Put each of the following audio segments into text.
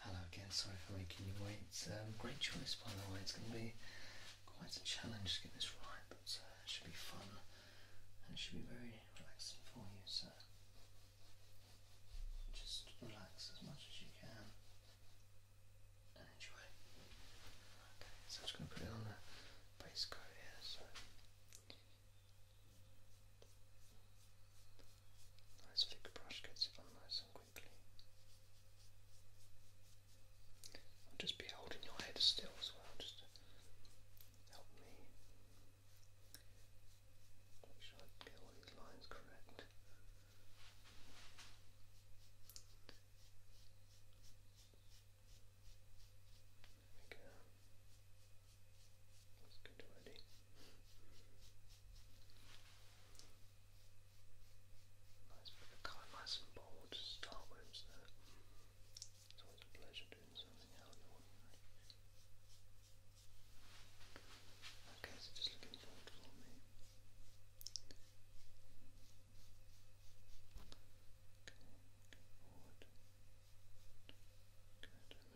Hello again, sorry for making you wait. Um, great choice by the way, it's going to be quite a challenge to get this right, but uh, it should be fun and it should be very relaxing for you. So just relax as much as you can and enjoy. Okay, so I'm just going to put it on the base coat here. So Nice thick brush gets it on nice and quickly. I'll just be holding your head still as well, just help me make sure I get all these lines correct. Like, uh, that's good already. Nice bit of colour, nice and bold to start with, so it's always a pleasure doing something out of the ordinary. Okay, so just looking forward for me. Okay, go forward. Good, and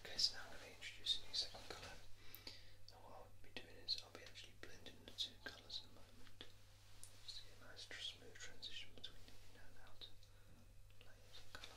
Okay, so now I'm going to introduce a new second colour. And what I'll be doing is I'll be actually blending the two colours in a moment. to get a nice smooth transition between the inner and outer layers of colour.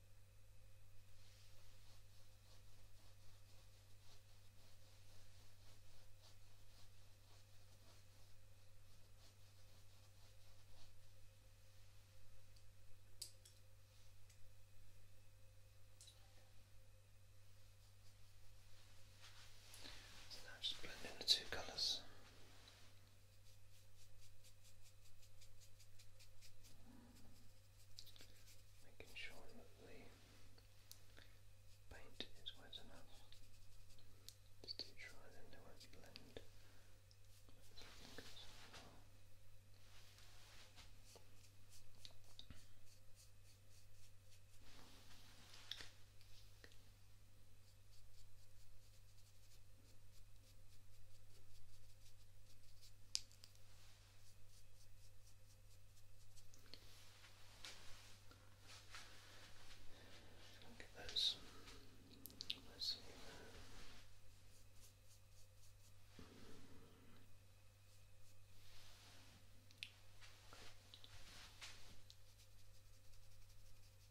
So now just blending the two colours. Making sure that the paint is wet enough to try then they won't blend. Look at those. Let's see. Okay.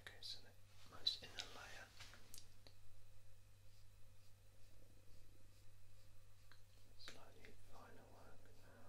Okay, so the most inner layer slightly finer work now.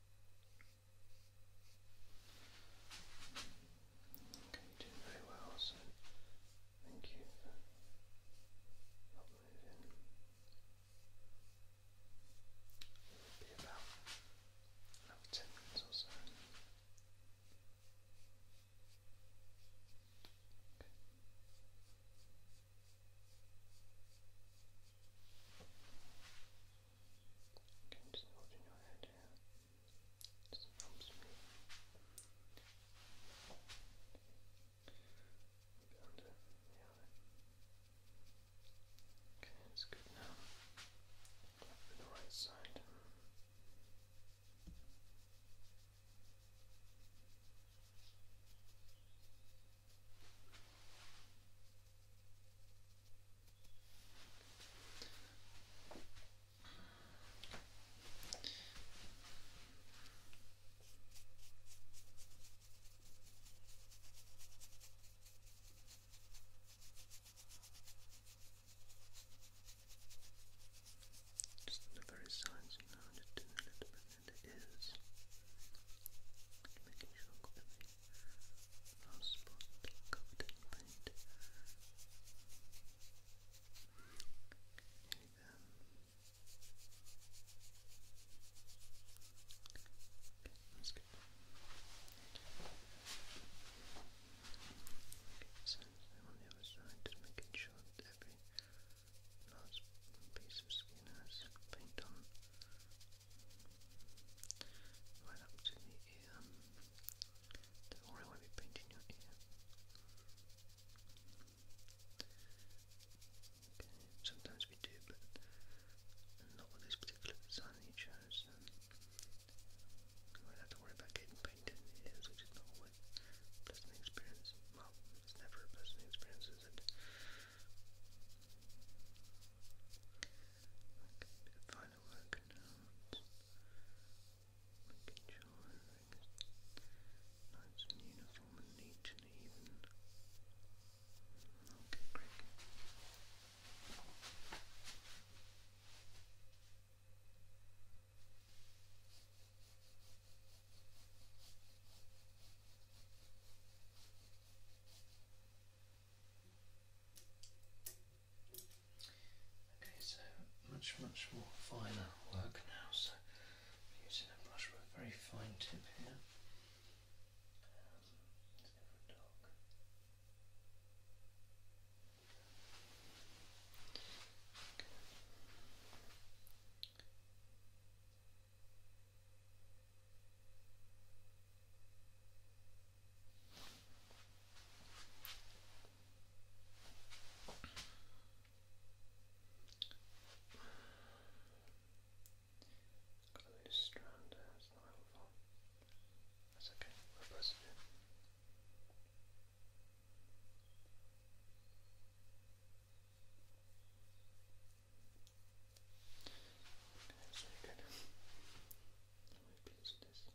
Okay, you very well, so thank you for not moving. It would be about another 10 minutes or so. Okay. You can just hold in your head here. It helps me. Maybe under the eye. Okay, it's good now. Back to the right side. Okay. Just the very sides, you know, just doing a little bit and is making sure i last spot covered in paint. Here we go. Okay, that's Okay, so on the other side, just making sure that nice piece of skin has paint on right up to the ear. Don't worry, I will painting your ear. sometimes we do, but not with this particular design you chose. you won't have to worry about getting painted in ears, which is not a pleasant experience. Well, it's never a pleasant experience, is it? can final work out, making sure everything's nice and uniform and neat and even. Okay, great. Okay, so much, much more finer work now. So using a brush with a very fine tip here. Um, Got a loose strand there, not helpful. That's okay, we'll press it in. That's really good. I'm really this. That's good.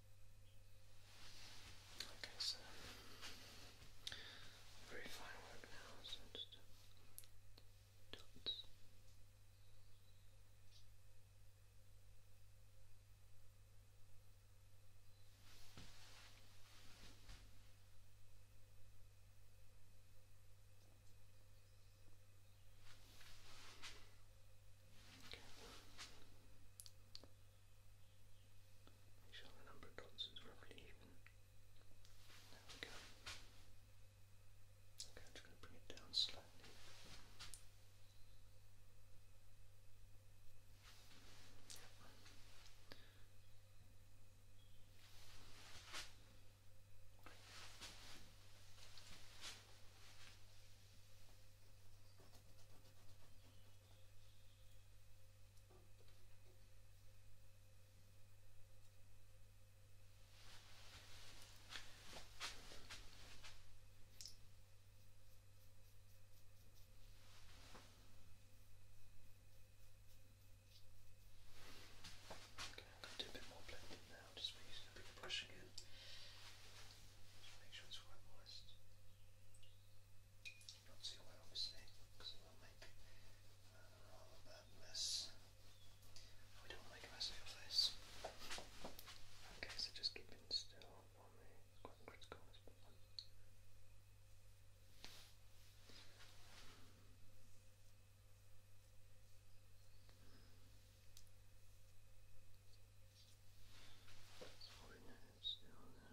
Okay, so very fine work now, so just dots. Okay. Make sure the number of dots is roughly even. There we go. Okay, I'm just going to bring it down slightly. Okay, I'm going to do a bit more blending now, just using a big brush again. Just make sure it's quite moist. Not too well, obviously, because it will make uh, a rather bad mess. We don't make a mess of this. Okay, so just keeping still on the Sorry, no,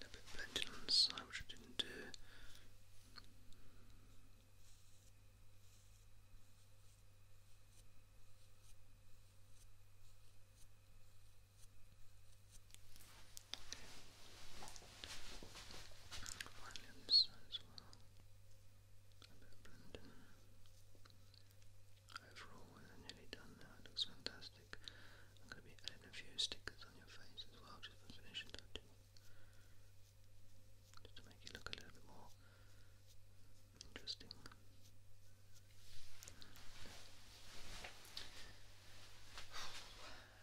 A bit blended on the side, which I didn't do. Williamson as well. A bit blending. Overall, we're nearly done now. It looks fantastic. I'm going to be adding a few stickers on your face as well, just for finishing touches just to make it look a little more interesting.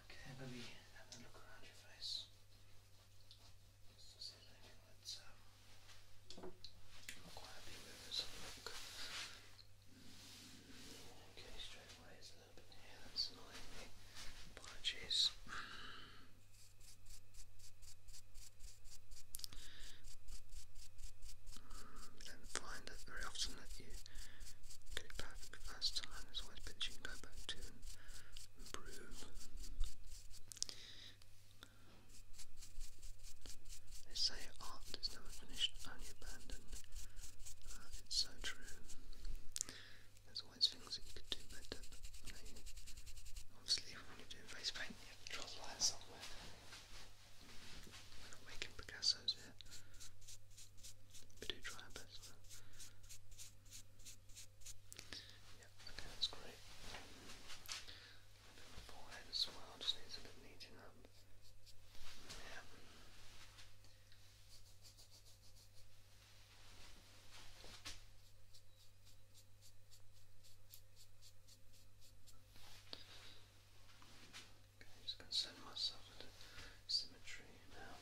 Okay, let have a look around your face. Just to see anything that's um, not quite happy with. let look. Okay, straight away, little that's annoying me. Apologies. You don't find that very often that you get it perfect the first time. There's always bits you can go back to and They say art is never finished, only abandoned. Uh, it's so true always things that you could do but you obviously when you're doing face paint you have to draw the line somewhere. We're making Picasso's here. We do try our best Yeah, okay, that's great. A bit of forehead as well, just needs a bit of up. Yeah. Okay, I'm just going to send myself into symmetry now.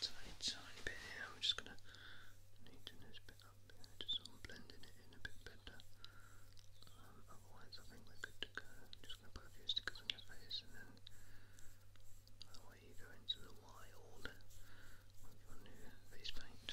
tiny, tiny bit here. I'm just gonna neaten this bit up here, just blending it in a bit better. Um, otherwise, I think we're good to go. just gonna put a few stickers on your face, and then that way you go into the wild with your face paint.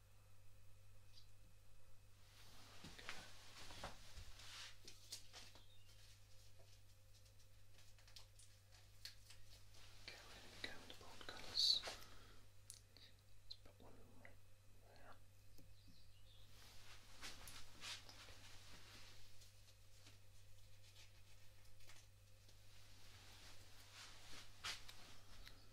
Okay, where do we go with the bold colours? Let's put one right there. Okay.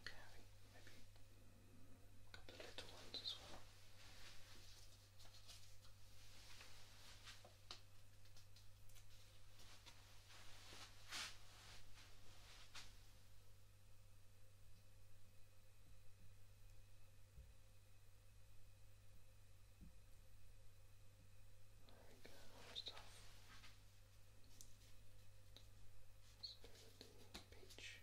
Okay, I maybe a couple little ones as well. Very good, other peach.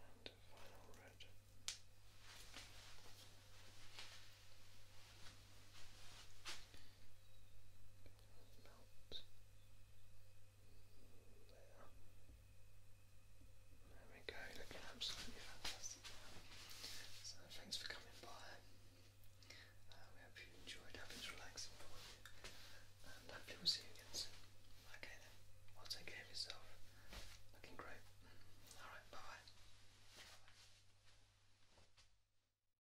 And final red there. we go, looking absolutely fantastic So thanks for coming by. Um, uh, we hope you enjoyed having it relaxing for And hopefully we'll see you again soon. Okay then. Well take care of yourself. Looking great. Alright, Bye bye.